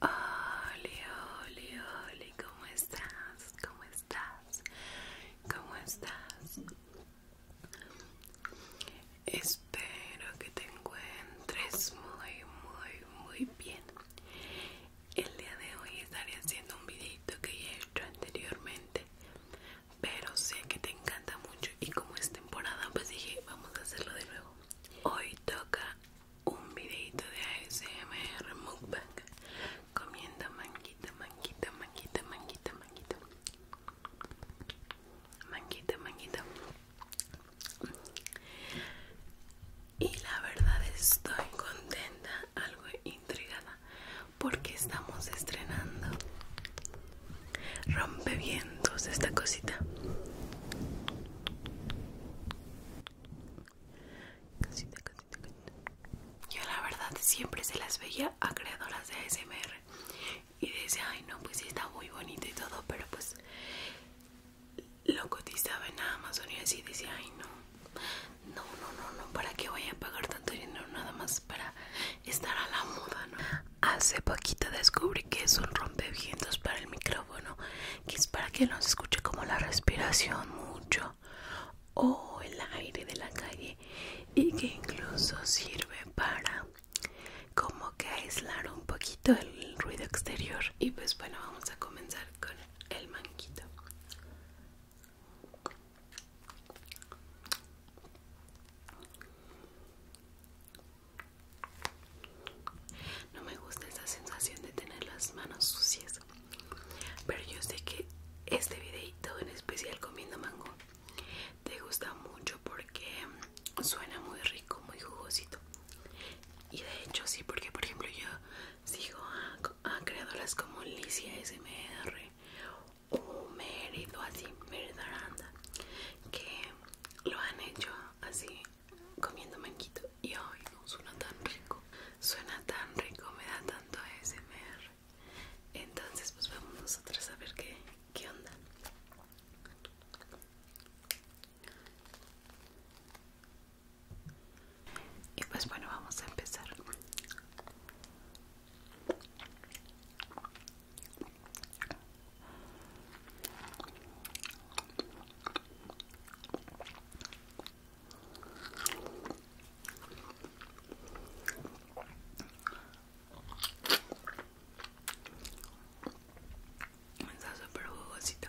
Hola, hola, hola, ¿cómo estás? ¿Cómo estás? ¿Cómo estás? Espero que te encuentres muy, muy, muy bien. El día de hoy estaré haciendo un videito que ya he hecho anteriormente pero sé que te encanta mucho y como es temporada pues dije vamos a hacerlo de nuevo hoy toca un videito de ASMR mukbang comiendo manguita manguita manguita manguita manguita Manquita, manguita y la verdad estoy contenta algo intrigada porque estamos estrenando rompevientos esta cosita Cosita, cosita, cosita. Yo la verdad siempre se las veía a creadoras de ASMR y decía, ay no, pues sí está muy bonito y todo, pero pues lo cotizaba en Amazon y así decía, ay no, no, no, no, no, ¿para qué voy a pagar tanto dinero nada más para estar a la moda, no? Hace poquito descubrí que es un rompevientos para el micrófono, que es para que no se escuche como la respiración mucho o el aire de la calle y que incluso sirve para como que aislar un poquito el ruido exterior. Y pues bueno, vamos a comenzar con el manquito. No me gusta esa sensación de tener las manos sucias. Pero yo sé que este videito en especial comiendo mango te gusta mucho porque suena muy rico, muy jugosito. Y de hecho sí, porque por ejemplo yo Sigo a, creadoras como Licia SMR o Mérito, así, Mérito que lo han hecho así, comiendo manquito. Y hoy no suena tan rico, suena tan rico, me da tanto SMR. Entonces, pues vamos nosotras a ver qué, qué onda. Y pues bueno, vamos a empezar. Está súper jugosito.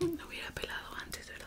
Me hubiera pelado antes, ¿verdad?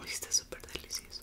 Uy, está súper delicioso.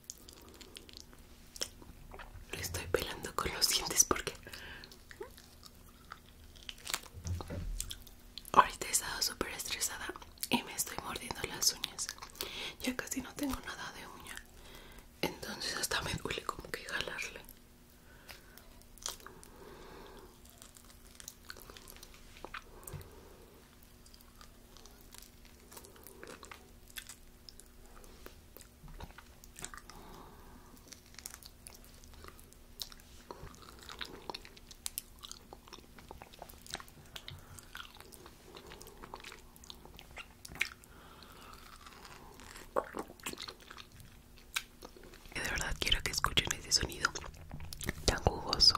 Le estoy pelando con los dientes porque ahorita he estado súper estresada y me estoy mordiendo las uñas. Ya casi no tengo nada de uña. Entonces hasta me duele como que jalarle. De verdad quiero que escuchen ese sonido tan jugoso.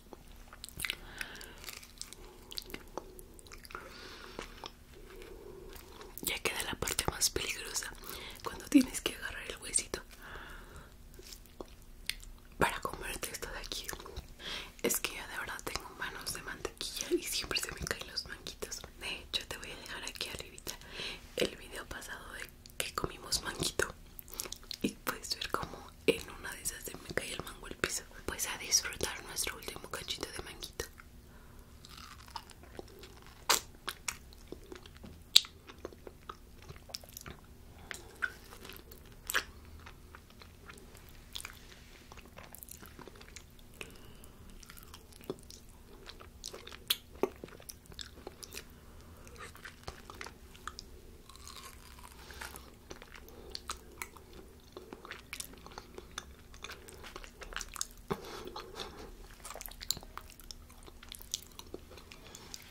Ya queda la parte más peligrosa cuando tienes que agarrar el huesito para comerte esto de aquí. Es que yo de verdad tengo manos de mantequilla y siempre se me caen los manguitos. De hecho, te voy a dejar aquí arribita el video pasado de que comimos manguito y puedes ver como en una de esas se me cae el mango el piso. Pues a disfrutar nuestro último cachito de manguito.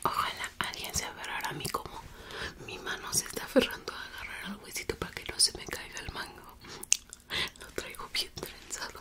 Ojalá alguien se aferrara a mí como mi mano se está aferrando a agarrar al huesito para que no se me caiga el mango. Lo traigo bien trenzado.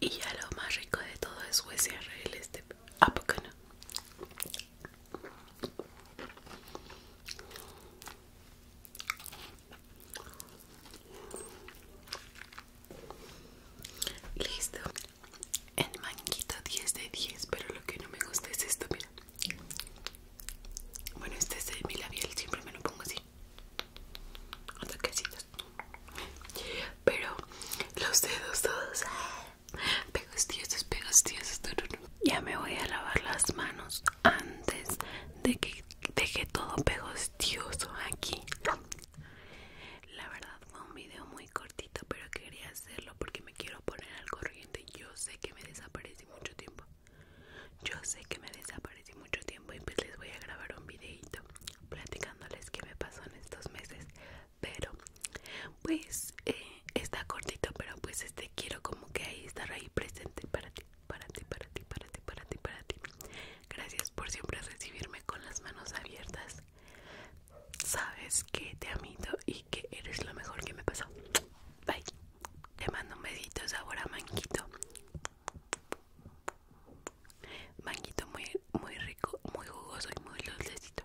Y ya lo más rico de todo es USRL este. ¿A poco no? Listo. El manguito 10 de 10, pero lo que no me gusta es esto, mira. Bueno, este es de mi labial, siempre me lo pongo así. Hasta que pero los dedos todos ah, pegastiosos pegastiosos ya me voy a lavar las manos antes de que deje todo pegostioso aquí la verdad fue un video muy cortito pero quería hacerlo porque me quiero poner al corriente yo sé que me desaparecí mucho tiempo yo sé que me desaparecí mucho tiempo y pues les voy a grabar un videito platicándoles qué me pasó en estos meses pero pues eh, está cortito pero pues este quiero como que ahí estar ahí presente para ti para ti para ti para ti para ti para ti gracias por siempre recibirme con las manos abiertas sabes que te amito y que eres lo mejor que me pasó bye te mando un besito sabor a manquito Manguito muy, muy rico, muy jugoso y muy dulcecito.